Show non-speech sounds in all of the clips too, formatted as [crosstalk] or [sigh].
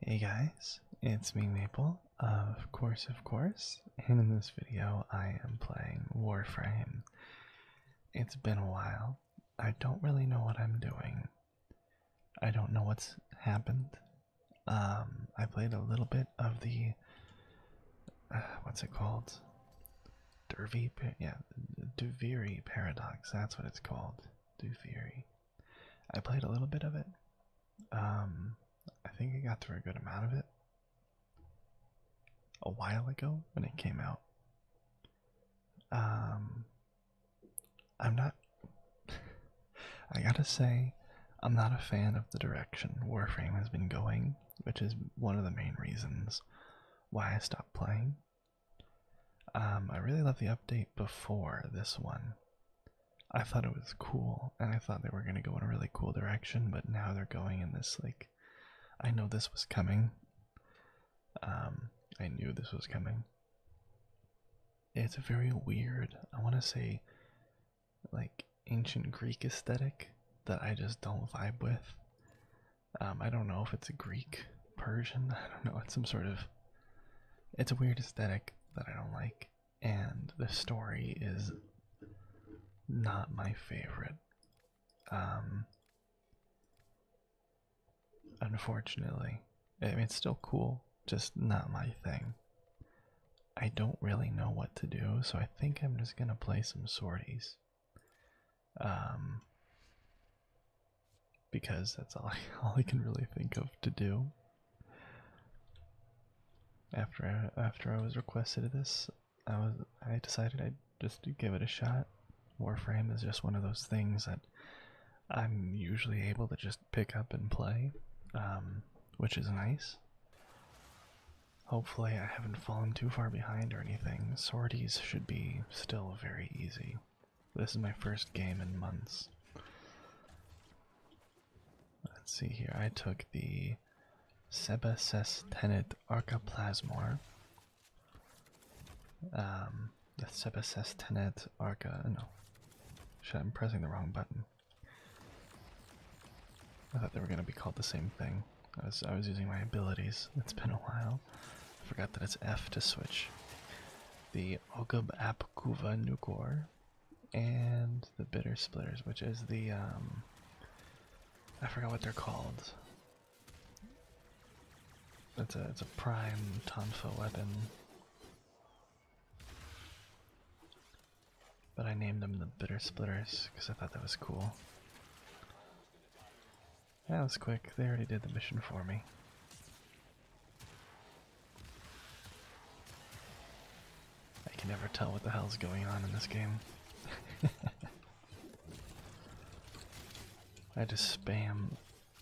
Hey guys, it's me Maple, uh, of course of course, and in this video I am playing Warframe. It's been a while. I don't really know what I'm doing. I don't know what's happened. Um, I played a little bit of the, uh, what's it called? Dervy, yeah, Duviri Paradox, that's what it's called. Duviri. I played a little bit of it. Um, I think I got through a good amount of it a while ago when it came out. Um, I'm not. [laughs] I gotta say, I'm not a fan of the direction Warframe has been going, which is one of the main reasons why I stopped playing. Um, I really loved the update before this one. I thought it was cool, and I thought they were gonna go in a really cool direction, but now they're going in this like I know this was coming. Um, I knew this was coming. It's a very weird, I wanna say like ancient Greek aesthetic that I just don't vibe with. Um, I don't know if it's a Greek Persian, [laughs] I don't know, it's some sort of it's a weird aesthetic that I don't like, and the story is not my favorite. Um, unfortunately, I mean, it's still cool, just not my thing. I don't really know what to do, so I think I'm just gonna play some sorties. Um, because that's [laughs] all I, can really think of to do. After I, after I was requested to this, I was I decided I'd just give it a shot. Warframe is just one of those things that I'm usually able to just pick up and play, um, which is nice. Hopefully, I haven't fallen too far behind or anything. Sorties should be still very easy. This is my first game in months. Let's see here. I took the Sebacestenid Archaplasmor. Um, the Sebacestenid Arca. Uh, no. Shit, I'm pressing the wrong button. I thought they were going to be called the same thing. I was, I was using my abilities. It's been a while. I forgot that it's F to switch the Ogub Apkuva Nukor, and the Bitter Splitters, which is the, um, I forgot what they're called. It's a, it's a prime Tonfa weapon. But I named them the Bitter Splitters because I thought that was cool. That was quick. They already did the mission for me. I can never tell what the hell's going on in this game. [laughs] I just spam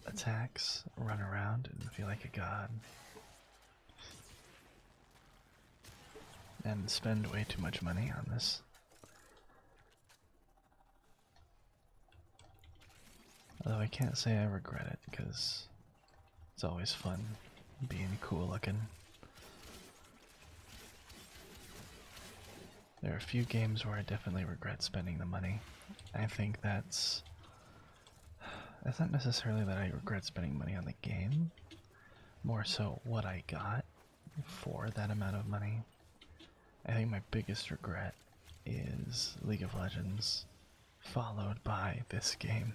attacks, run around, and feel like a god. And spend way too much money on this. Although I can't say I regret it, because it's always fun being cool looking. There are a few games where I definitely regret spending the money. I think that's. It's not necessarily that I regret spending money on the game, more so what I got for that amount of money. I think my biggest regret is League of Legends, followed by this game.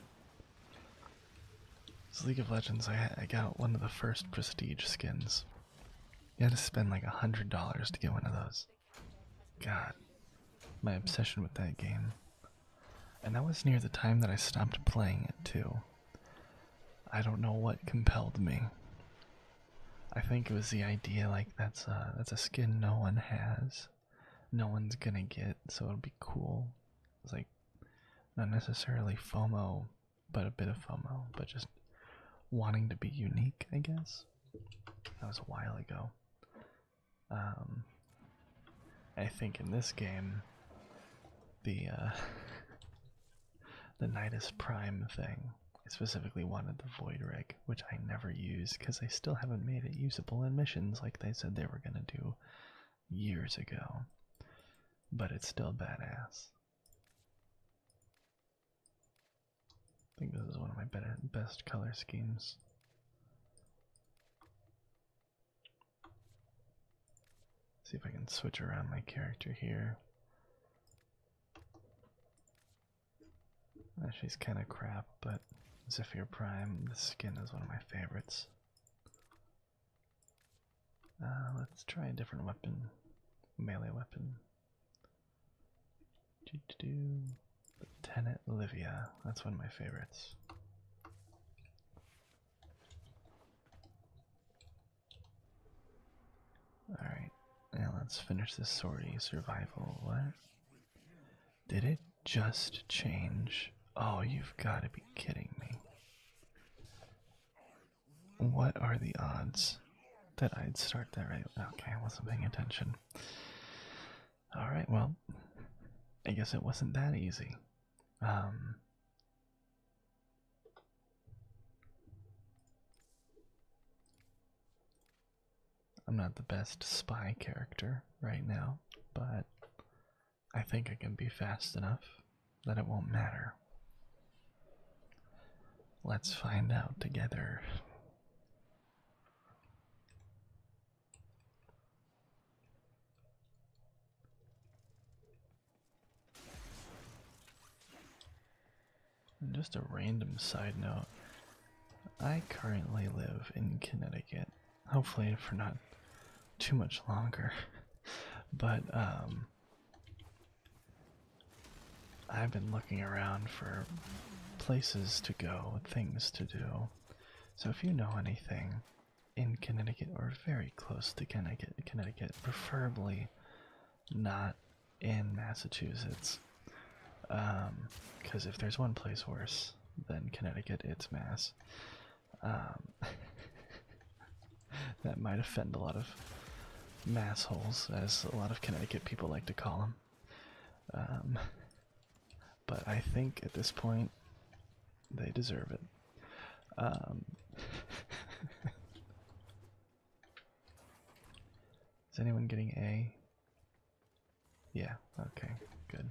So League of Legends, I, I got one of the first prestige skins. You had to spend like a hundred dollars to get one of those. God, my obsession with that game. And that was near the time that I stopped playing it too. I don't know what compelled me. I think it was the idea like that's a, that's a skin no one has, no one's gonna get, so it'll be cool. It's like not necessarily FOMO, but a bit of FOMO, but just wanting to be unique, I guess. That was a while ago. Um, I think in this game, the uh, [laughs] the Nidus Prime thing I specifically wanted the void rig, which I never use because I still haven't made it usable in missions like they said they were gonna do years ago. But it's still badass. I think this is one of my better, best color schemes. See if I can switch around my character here. She's kind of crap, but Zephyr Prime, the skin is one of my favorites. Uh, let's try a different weapon, melee weapon. Do -do Lieutenant Livia, that's one of my favorites. Alright, now let's finish this sortie. Survival, what? Did it just change? Oh, you've got to be kidding me. What are the odds that I'd start that right? Okay, I wasn't paying attention. Alright, well, I guess it wasn't that easy. Um. I'm not the best spy character right now, but I think I can be fast enough that it won't matter. Let's find out together just a random side note. I currently live in Connecticut. Hopefully for not too much longer. [laughs] but um, I've been looking around for places to go, things to do. So if you know anything in Connecticut or very close to Connecticut, Connecticut, preferably not in Massachusetts. Because um, if there's one place worse than Connecticut, it's Mass. Um, [laughs] that might offend a lot of massholes, as a lot of Connecticut people like to call them. Um, but I think at this point, they deserve it. [laughs] Is anyone getting A? Yeah, okay, good.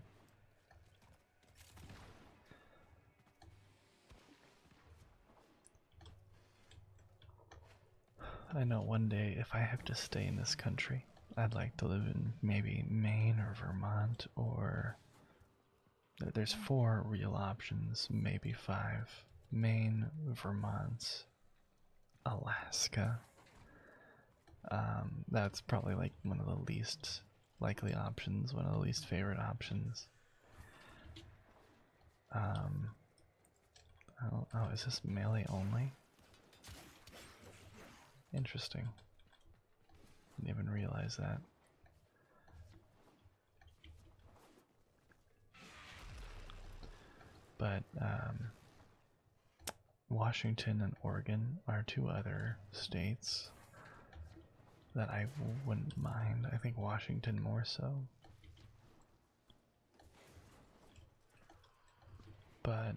I know one day if I have to stay in this country, I'd like to live in maybe Maine or Vermont or. There's four real options, maybe five Maine, Vermont, Alaska. Um, that's probably like one of the least likely options, one of the least favorite options. Um, oh, oh, is this melee only? Interesting. Didn't even realize that. But um, Washington and Oregon are two other states that I wouldn't mind. I think Washington more so. But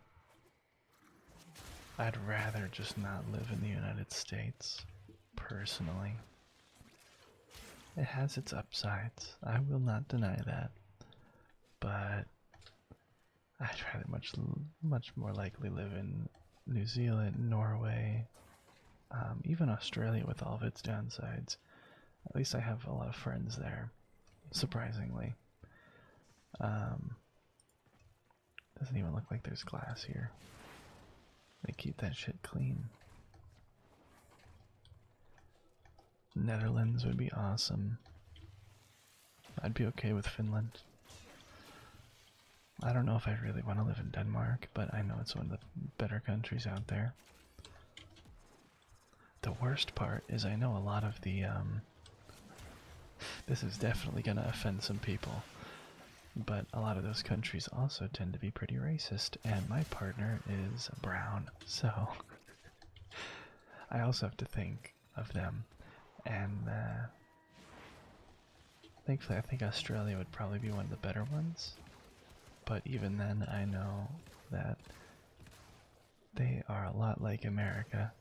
I'd rather just not live in the United States, personally. It has its upsides, I will not deny that but I'd rather much much more likely live in New Zealand, Norway, um, even Australia with all of its downsides. At least I have a lot of friends there, surprisingly. Um, doesn't even look like there's glass here. They keep that shit clean. Netherlands would be awesome. I'd be okay with Finland. I don't know if I really want to live in Denmark, but I know it's one of the better countries out there. The worst part is I know a lot of the um, [laughs] this is definitely going to offend some people. But a lot of those countries also tend to be pretty racist and my partner is brown. So [laughs] I also have to think of them, and uh, thankfully, I think Australia would probably be one of the better ones. But even then, I know that they are a lot like America,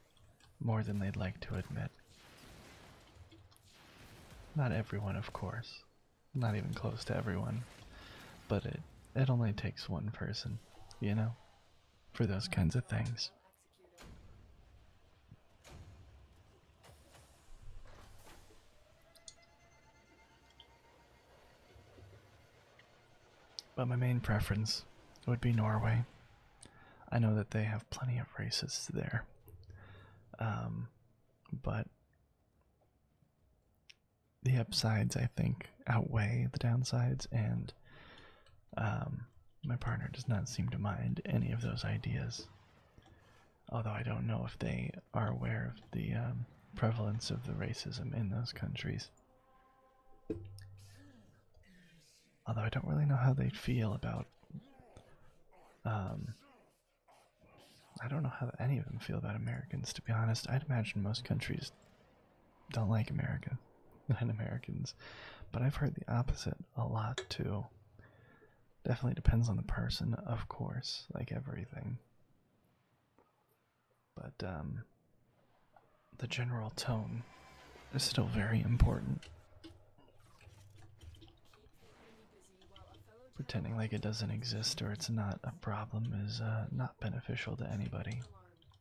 more than they'd like to admit. Not everyone, of course. Not even close to everyone. But it it only takes one person, you know? for those kinds of things. But my main preference would be Norway. I know that they have plenty of races there. Um, but the upsides I think outweigh the downsides, and um, my partner does not seem to mind any of those ideas. Although I don't know if they are aware of the um, prevalence of the racism in those countries. Although I don't really know how they feel about. Um, I don't know how any of them feel about Americans, to be honest. I'd imagine most countries don't like America and [laughs] Americans, but I've heard the opposite a lot too. Definitely depends on the person, of course, like everything. But um, the general tone is still very important. Pretending like it doesn't exist or it's not a problem is uh, not beneficial to anybody.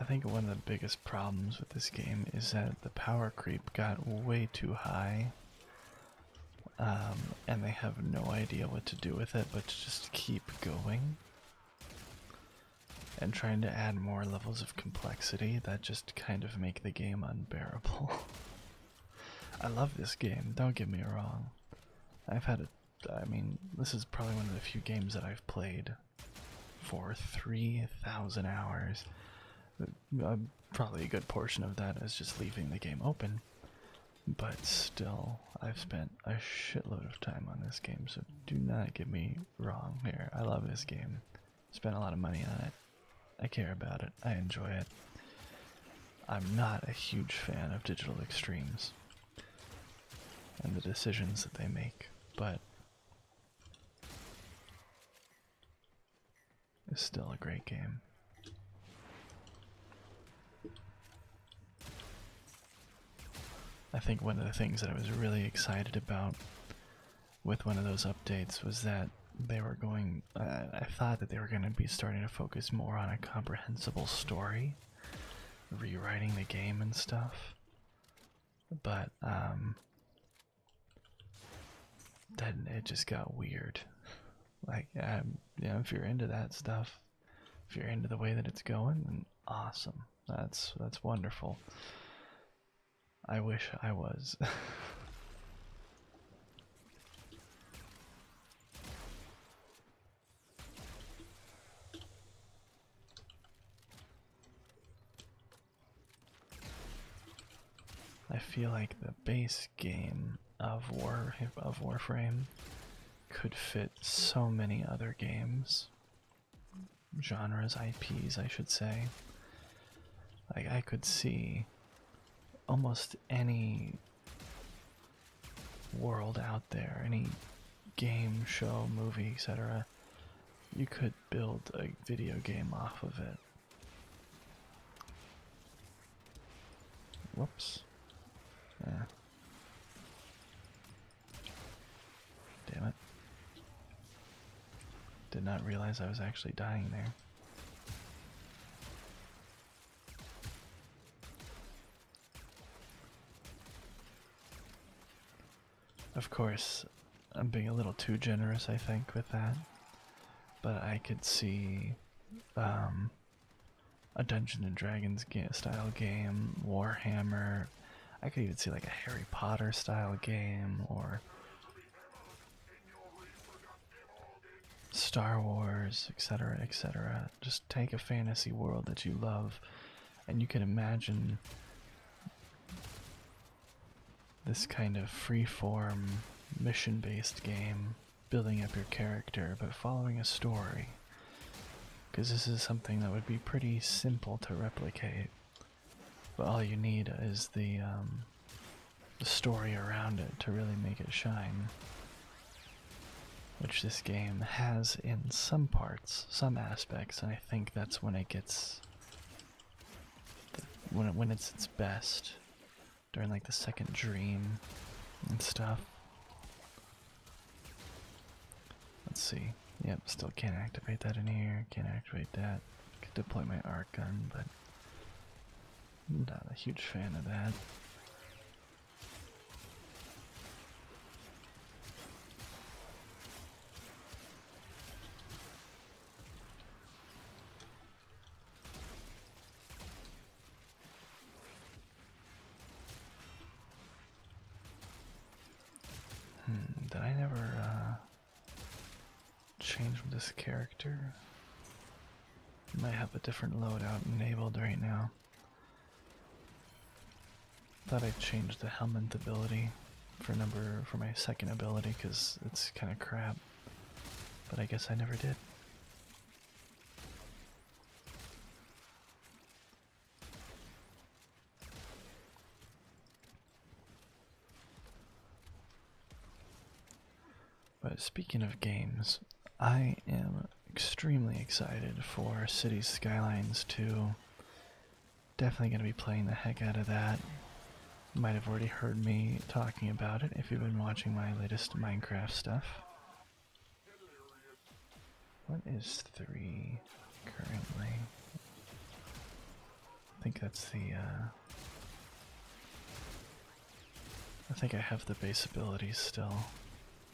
I think one of the biggest problems with this game is that the power creep got way too high. Um, and they have no idea what to do with it but to just keep going. And trying to add more levels of complexity that just kind of make the game unbearable. [laughs] I love this game, don't get me wrong. I've had a I mean, this is probably one of the few games that I've played for 3,000 hours. Uh, uh, probably a good portion of that is just leaving the game open. But still, I've spent a shitload of time on this game, so do not get me wrong here. I love this game. Spent a lot of money on it. I care about it. I enjoy it. I'm not a huge fan of digital extremes and the decisions that they make, but it's still a great game. I think one of the things that I was really excited about with one of those updates was that they were going. I thought that they were going to be starting to focus more on a comprehensible story rewriting the game and stuff. But um then it just got weird. Like um, you know, if you're into that stuff, if you're into the way that it's going, then awesome. That's that's wonderful. I wish I was. [laughs] [laughs] I feel like the base game of War of Warframe could fit so many other games, genres, IPs, I should say. Like I could see almost any world out there, any game, show, movie, etc., you could build a video game off of it. Whoops. Damn it. Did not realize I was actually dying there. Of course, I'm being a little too generous, I think, with that. But I could see um, a Dungeons and Dragons style game, Warhammer. I could even see like a Harry Potter style game or Star Wars, etc., etc. Just take a fantasy world that you love and you can imagine this kind of free-form mission-based game building up your character but following a story because this is something that would be pretty simple to replicate but all you need is the um, the story around it to really make it shine which this game has in some parts, some aspects, and I think that's when it gets when it, when it's its best during like the second dream and stuff. Let's see. Yep, still can't activate that in here. Can't activate that. Could deploy my arc gun, but not a huge fan of that. Hmm, did I never uh, change this character? might have a different loadout enabled right now. Thought I'd change the helmet ability for number for my second ability because it's kind of crap. But I guess I never did. But speaking of games, I am extremely excited for Cities Skylines 2. Definitely going to be playing the heck out of that. You might have already heard me talking about it if you've been watching my latest Minecraft stuff. What is 3 currently? I think that's the. Uh, I think I have the base abilities still.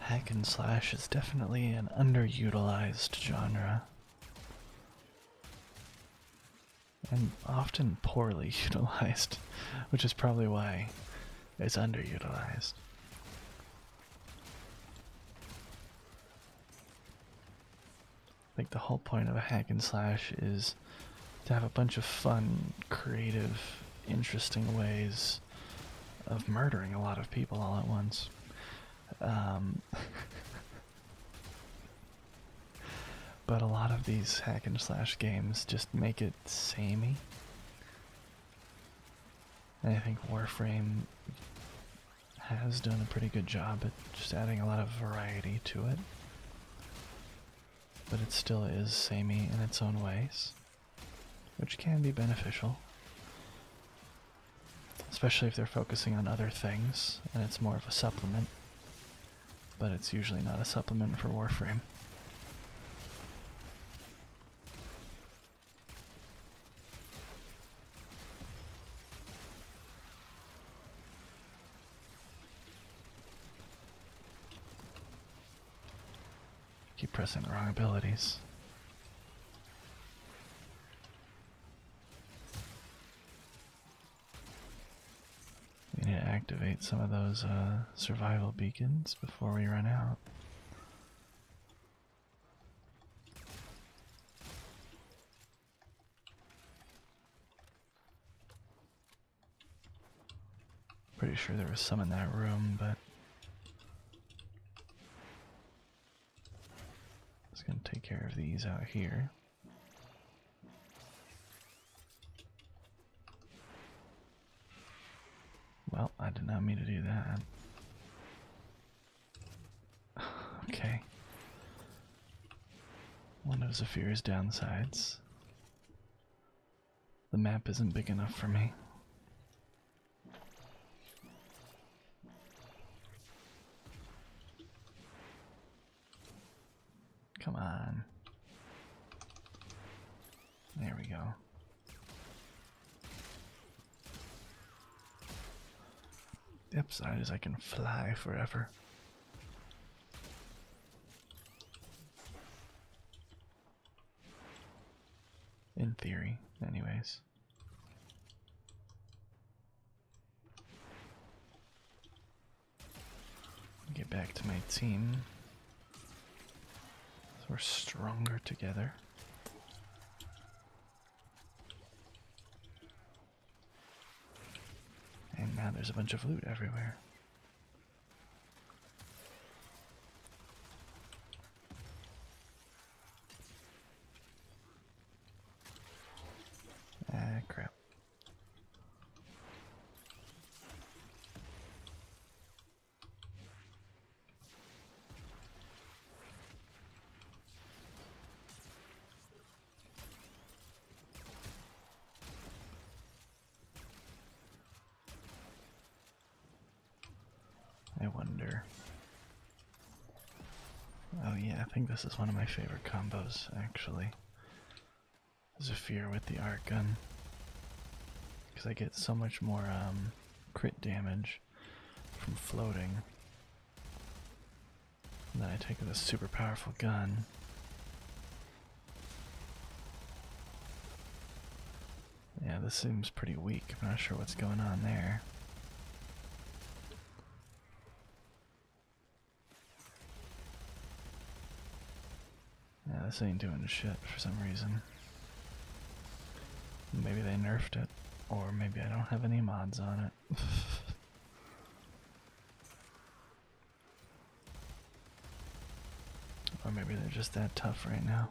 Hack and slash is definitely an underutilized genre. And often poorly [laughs] utilized, which is probably why it's underutilized. I think the whole point of a hack and slash is to have a bunch of fun, creative, interesting ways of murdering a lot of people all at once. Um, [laughs] but a lot of these hack and slash games just make it samey. I think Warframe has done a pretty good job at just adding a lot of variety to it. But it still is samey in its own ways which can be beneficial. Especially if they're focusing on other things and it's more of a supplement. But it's usually not a supplement for Warframe. Keep pressing the wrong abilities. We need to activate some of those uh, survival beacons before we run out. Pretty sure there was some in that room, but just gonna take care of these out here. Well, I did not mean to do that. [sighs] okay. One of Zephyr's downsides. The map isn't big enough for me. Come on. There we go. The upside is I can fly forever. In theory, anyways. Get back to my team. we're stronger together. And now there's a bunch of loot everywhere. Ah, crap. I wonder. Oh, yeah, I think this is one of my favorite combos, actually. Zephyr with the art gun. Because I get so much more um, crit damage from floating. And then I take this super powerful gun. Yeah, this seems pretty weak. I'm not sure what's going on there. Yeah, this ain't doing shit for some reason. Maybe they nerfed it, or maybe I don't have any mods on it. [laughs] or maybe they're just that tough right now.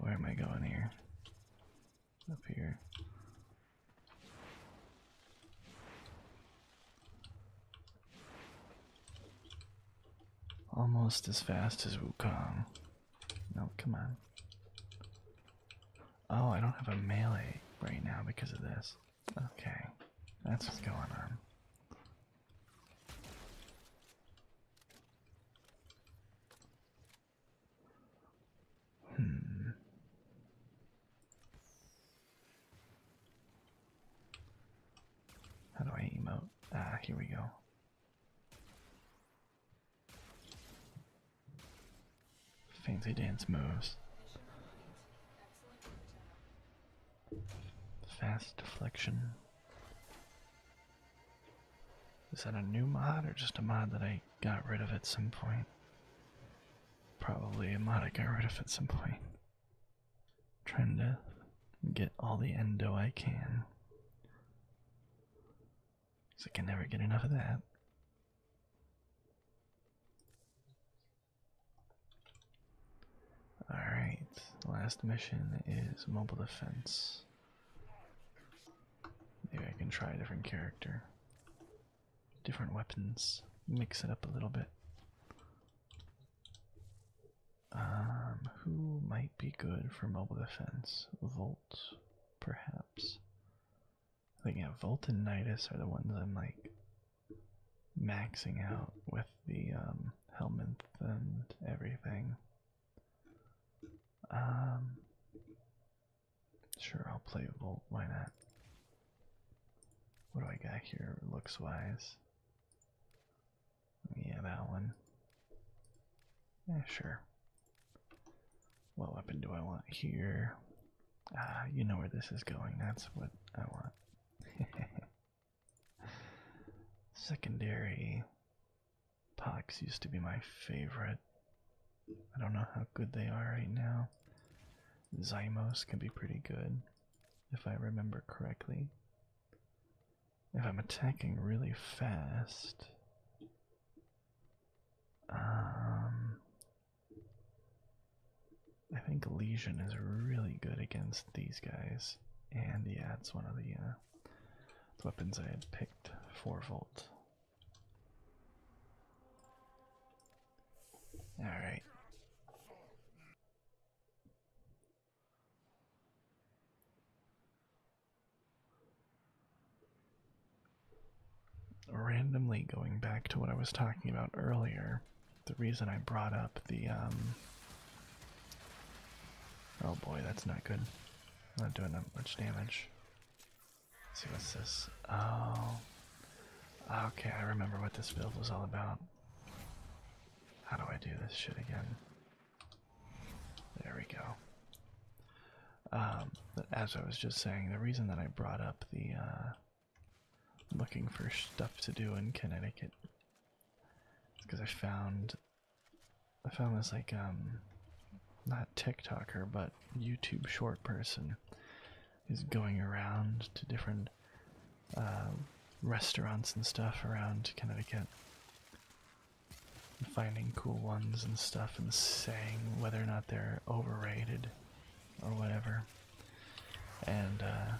where am I going here? Up here. Almost as fast as Wukong. No, come on. Oh, I don't have a melee right now because of this. Okay, that's what's going on. Hmm. How do I emote? Ah, here we go. Fancy dance moves. Fast deflection. Is that a new mod or just a mod that I got rid of at some point? Probably a mod I got rid of at some point. Trying to get all the endo I can. Because I can never get enough of that. Alright, the last mission is mobile defense. Maybe I can try a different character, different weapons, mix it up a little bit. Um, who might be good for mobile defense? Volt, perhaps. I think yeah, Volt are the ones I'm like maxing out with the um, helmet and everything. Um Sure I'll play Vol. why not? What do I got here looks wise? Yeah, that one. Yeah, sure. What weapon do I want here? Ah, you know where this is going. That's what I want. [laughs] Secondary pox used to be my favorite. I don't know how good they are right now. Zymos can be pretty good, if I remember correctly. If I'm attacking really fast, um, I think Legion is really good against these guys, and yeah, it's one of the uh, weapons I had picked. Four volt. All right randomly going back to what I was talking about earlier, the reason I brought up the um, Oh boy, that's not good. I'm not doing that much damage. see what's this? Oh okay, I remember what this build was all about. How do I do this shit again? There we go. Um, as I was just saying, the reason that I brought up the uh, looking for stuff to do in Connecticut. Because I found I found this like um not TikToker but YouTube short person is going around to different uh, restaurants and stuff around Connecticut. finding cool ones and stuff and saying whether or not they're overrated or whatever. And uh,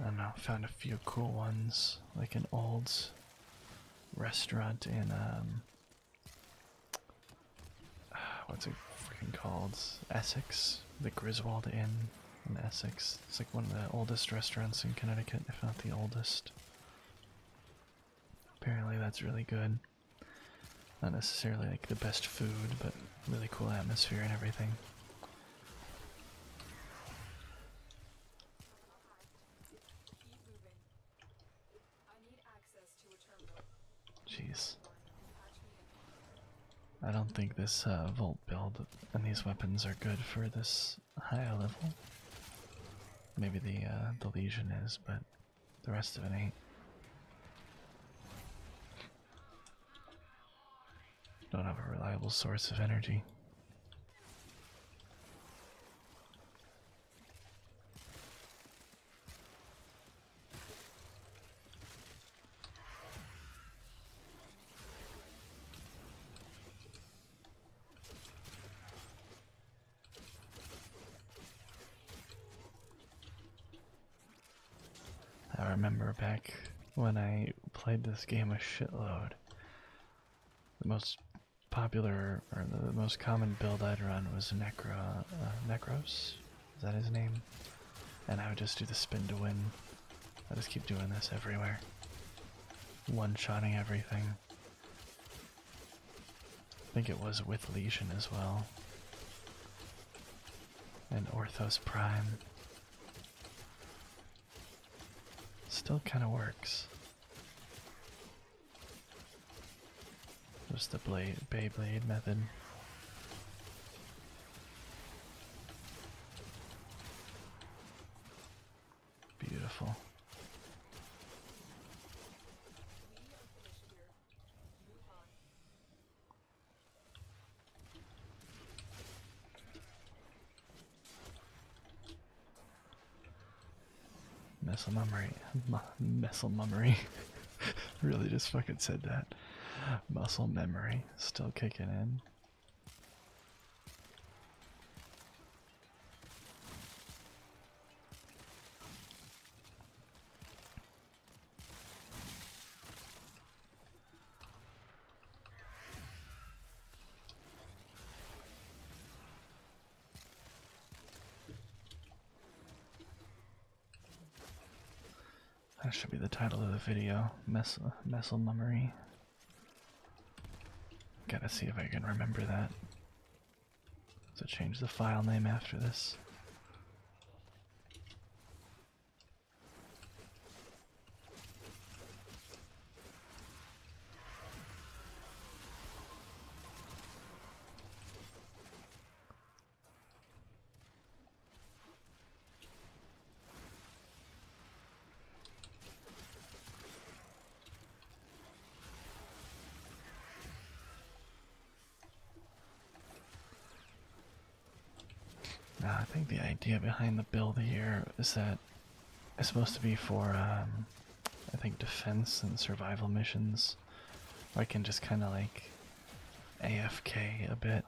I don't know, found a few cool ones, like an old restaurant in um, [sighs] what's it freaking called? Essex, the Griswold Inn in Essex. It's like one of the oldest restaurants in Connecticut, if not the oldest. Apparently, that's really good. Not necessarily like the best food, but really cool atmosphere and everything. Jeez. I don't think this uh, Volt build and these weapons are good for this high level. Maybe the uh, the Legion is, but the rest of it ain't. Don't have a reliable source of energy. I remember back when I played this game a shitload. The most popular or the most common build I'd run was necro, uh, Necros. Is that his name? And I would just do the spin to win. I just keep doing this everywhere, one-shotting everything. I think it was with lesion as well. And Orthos Prime. Still kind of works. Just the blade, Beyblade method. Beautiful. Missile memory, missile memory. [laughs] really just fucking said that. Muscle memory still kicking in. That should be the title of the video, Mess Messel Mummery. Gotta see if I can remember that. So change the file name after this. Now, uh, I think the idea behind the build here is that it's supposed to be for, um, I think, defense and survival missions. I can just kind of like AFK a bit.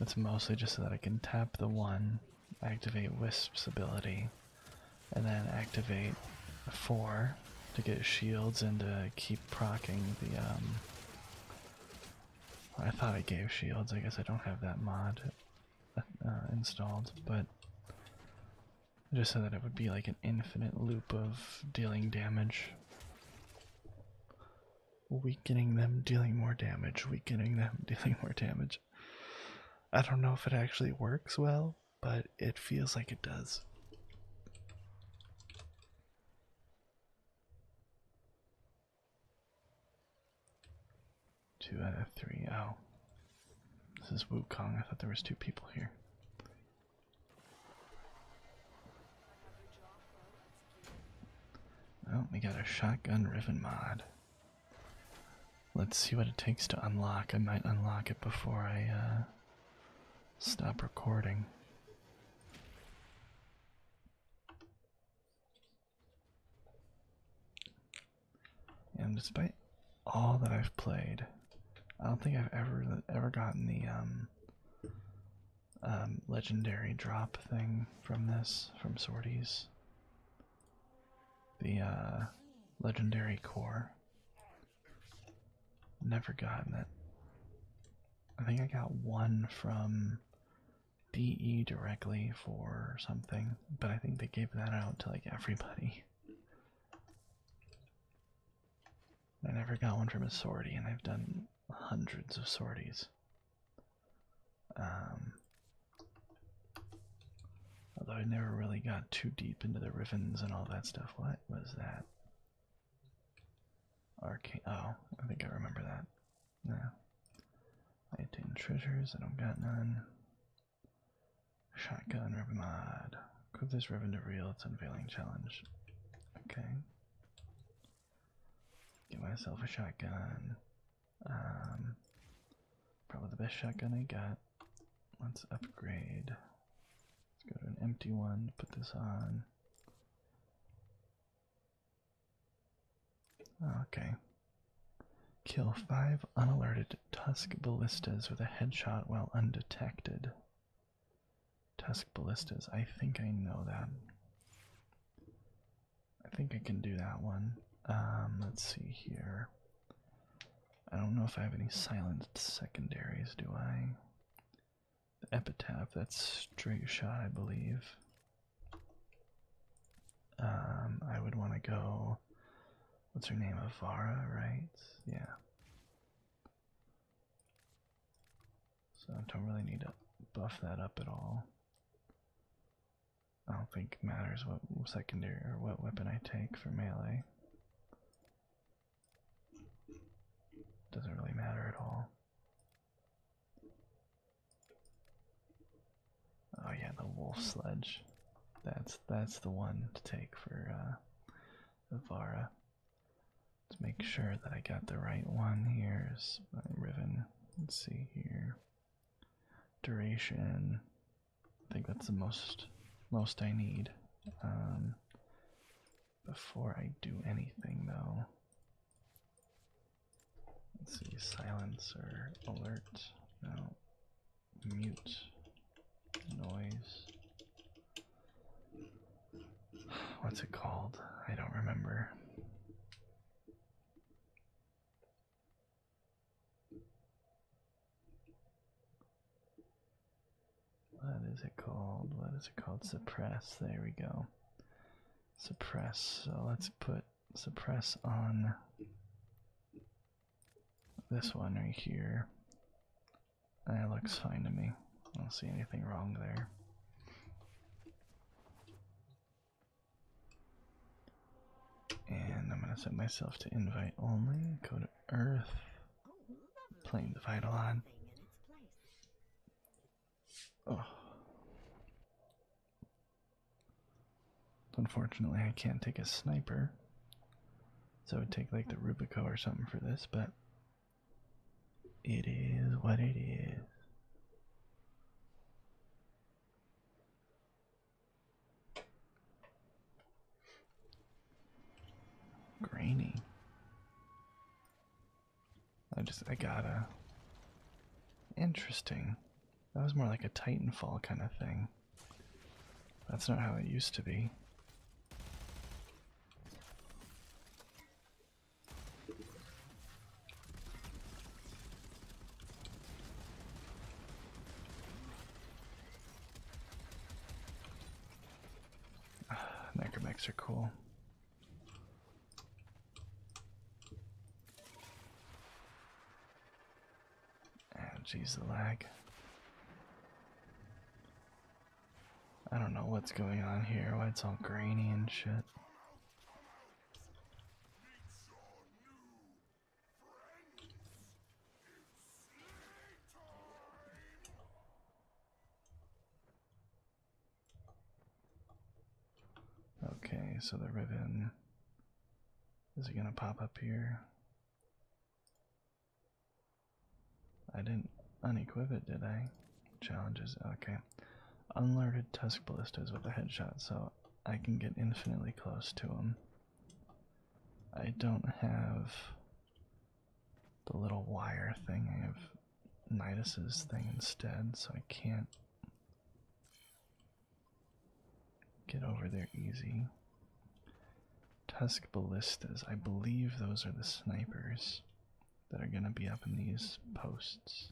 It's mostly just so that I can tap the one, activate Wisp's ability, and then activate the four, to get shields and to keep procking the um I thought I gave shields. I guess I don't have that mod uh, installed, but just so that it would be like an infinite loop of dealing damage. Weakening them, dealing more damage, weakening them, [laughs] dealing more damage. I don't know if it actually works well, but it feels like it does. Two out of three. Oh. This is Wu Kong. I thought there was two people here. Oh, we got a shotgun riven mod. Let's see what it takes to unlock. I might unlock it before I uh, Stop recording. And despite all that I've played, I don't think I've ever ever gotten the um, um legendary drop thing from this from sorties. The uh, legendary core. Never gotten that. I think I got one from DE directly for something, but I think they gave that out to like everybody. I never got one from a sortie, and I've done hundreds of sorties. Um, although I never really got too deep into the Rivens and all that stuff. What was that? Arcane. Oh, I think I remember that. No. 18 treasures. I don't got none. Shotgun ribbon mod. Equip this ribbon to reel its unveiling challenge. Okay. Get myself a shotgun. Um, probably the best shotgun I got. Let's upgrade. Let's go to an empty one, put this on. Okay. Kill five unalerted Tusk Ballistas with a headshot while undetected. Tusk Ballistas, I think I know that. I think I can do that one. Um, let's see here. I don't know if I have any silenced secondaries, do I? epitaph. That's straight shot, I believe. Um, I would want to go. What's her name? Avara, right? Yeah. So I don't really need to buff that up at all. I don't think matters what secondary or what weapon I take for melee. Doesn't really matter at all. Oh yeah, the wolf sledge. That's that's the one to take for uh, Let's make sure that I got the right one. Here's Riven. Let's see here. Duration. I think that's the most most I need. Um, before I do anything, though, let's see, silencer, alert, no, mute, noise. What's it called? I don't remember. What is it called? What is it called? Suppress. There we go. Suppress. So let's put suppress on this one right here. That looks fine to me. I don't see anything wrong there. And I'm going to set myself to invite only. Go to Earth playing the Vitalon. Oh. Unfortunately, I can't take a sniper, so I would take like the Rubico or something for this, but it is what it is. Grainy. I just, I gotta. Interesting. That was more like a Titanfall kind of thing. That's not how it used to be. Uh, [sighs] necromechs are cool. Jeez, geez, the lag. I don't know what's going on here, why it's all grainy and shit. Okay, so the ribbon is it gonna pop up here? I didn't unequip it, did I? Challenges, okay. Unlarded tusk ballistas with a headshot, so I can get infinitely close to them. I don't have the little wire thing. I have Midas's thing instead, so I can't get over there easy. Tusk ballistas. I believe those are the snipers that are going to be up in these posts.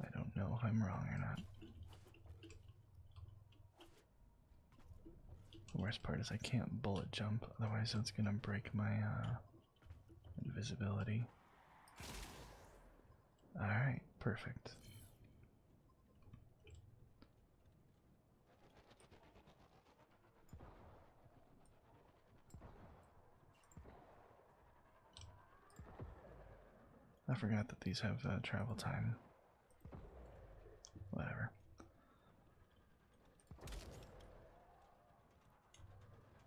I don't know if I'm wrong or not. The worst part is I can't bullet jump, otherwise that's gonna break my uh, invisibility. Alright, perfect. I forgot that these have uh, travel time. Whatever.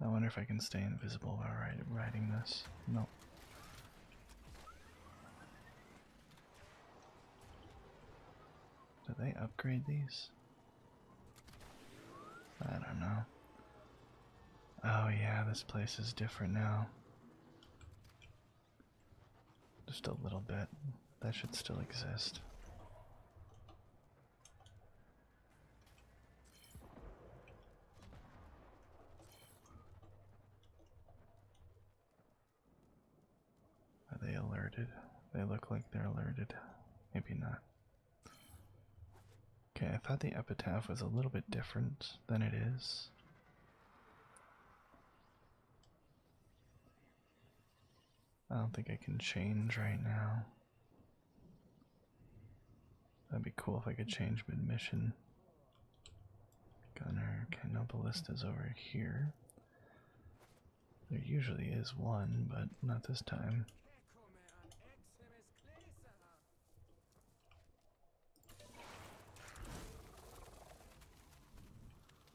I wonder if I can stay invisible while riding this. Nope. Do they upgrade these? I don't know. Oh, yeah, this place is different now. Just a little bit. That should still exist. Are they alerted? They look like they're alerted. Maybe not. Okay, I thought the epitaph was a little bit different than it is. I don't think I can change right now. That'd be cool if I could change mid mission. Gunner, okay, no ballista's over here. There usually is one, but not this time.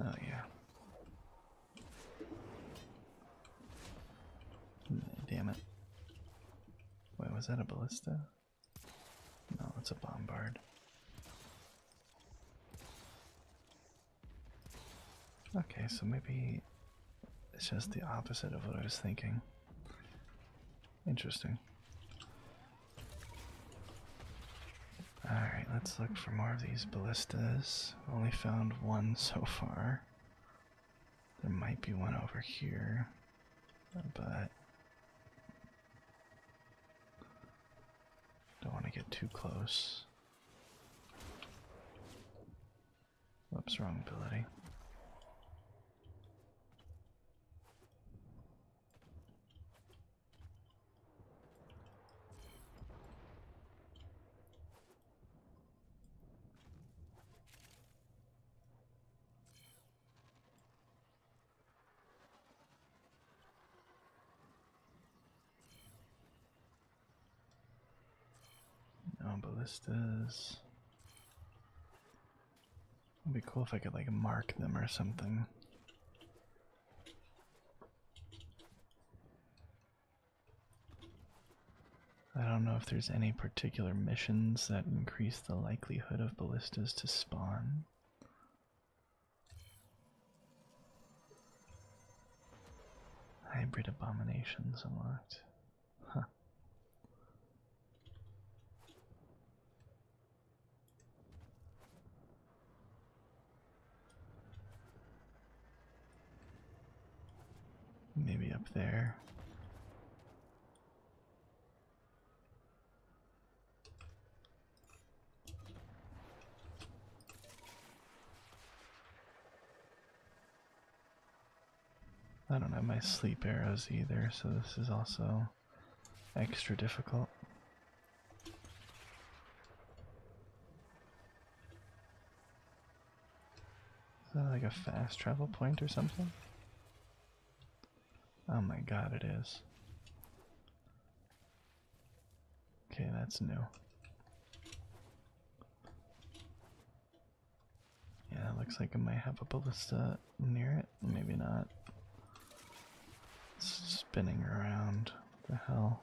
Oh yeah. Damn it. Wait, was that a ballista? No, it's a bombard. Okay, so maybe it's just the opposite of what I was thinking. Interesting. Alright, let's look for more of these ballistas. Only found one so far. There might be one over here, but don't want to get too close. Whoops, wrong ability. No ballistas. It'd be cool if I could like mark them or something. I don't know if there's any particular missions that increase the likelihood of ballistas to spawn. Hybrid abominations unlocked. Huh. Maybe up there. I don't have my sleep arrows either, so this is also extra difficult. Is that like a fast travel point or something? Oh my god, it is. Okay, that's new. Yeah, looks like I might have a ballista near it. Maybe not. It's spinning around. What the hell?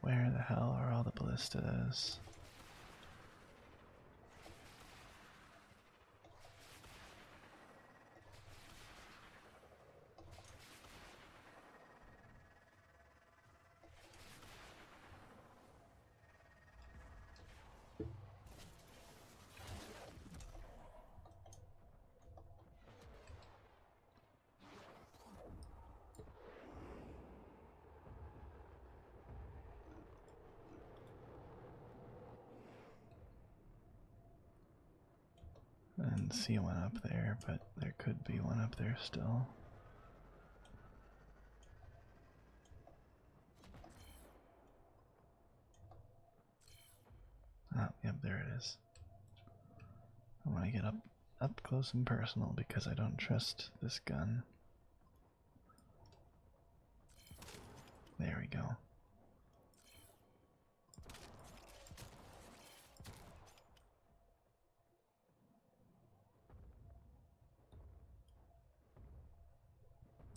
Where the hell are all the ballistas? I didn't see one up there, but there could be one up there still. Oh, yep, there it is. I want to get up up close and personal because I don't trust this gun. There we go.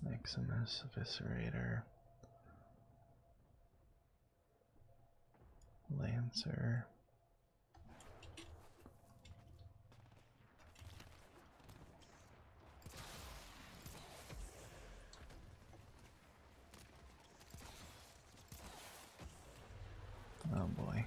Maximus Eviscerator. Lancer. Oh boy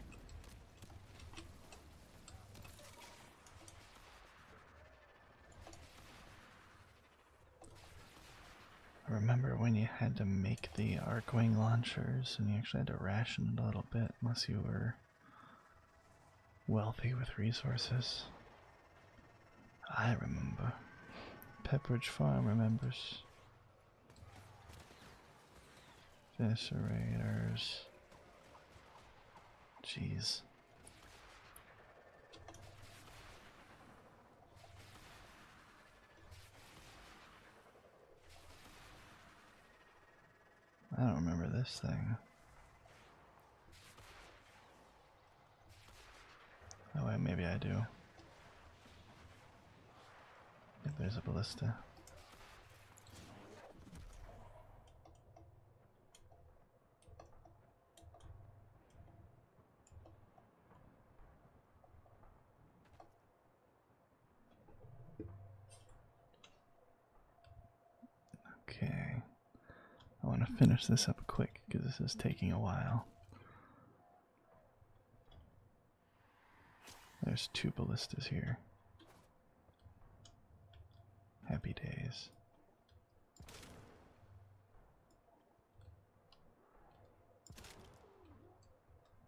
remember when you had to make the arc launchers and you actually had to ration it a little bit unless you were wealthy with resources. I remember. Pepperidge Farm remembers. Eviscerators. Jeez. I don't remember this thing. Oh wait, maybe I do. If there's a ballista. Okay. I want to finish this up quick because this is taking a while. There's two ballistas here. Happy days.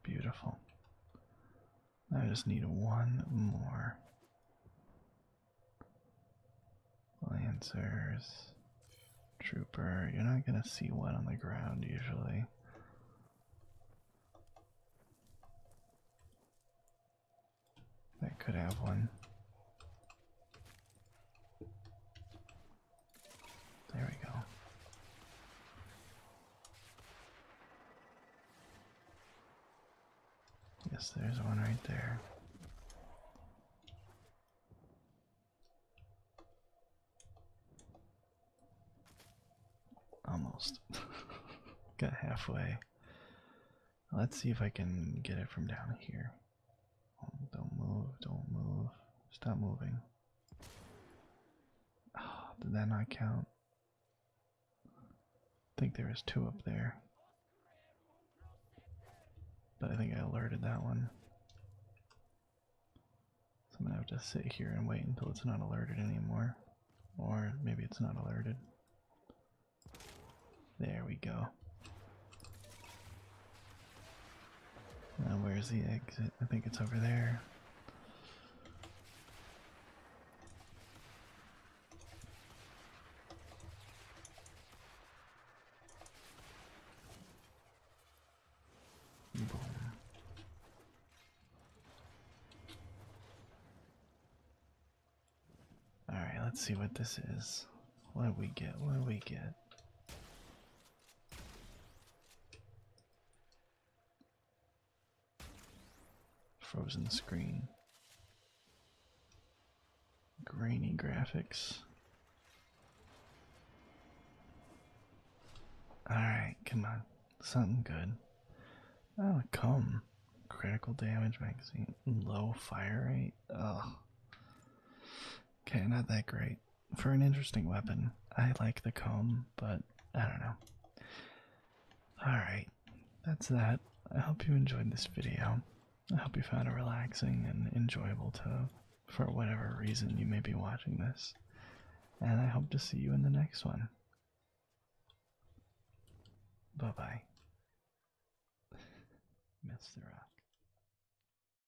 Beautiful. I just need one more. Lancers. Trooper. You're not going to see one on the ground usually. I could have one. There we go. Yes, there's one right there. Almost. [laughs] Got halfway. Let's see if I can get it from down here. Don't move, don't move. Stop moving. Ah, then I count? I think there two up there. But I think I alerted that one. So I'm gonna have to sit here and wait until it's not alerted anymore. Or maybe it's not alerted. There we go. Now, where's the exit? I think it's over there. All right, let's see what this is. What do we get? What do we get? Frozen screen. Grainy graphics. Alright, come on. Something good. Oh, come. Critical damage magazine. Low fire rate. Ugh. Okay, not that great for an interesting weapon. I like the comb, but I don't know. Alright, that's that. I hope you enjoyed this video. I hope you found it relaxing and enjoyable to for whatever reason you may be watching this. And I hope to see you in the next one. Bye bye. Mr. Rock.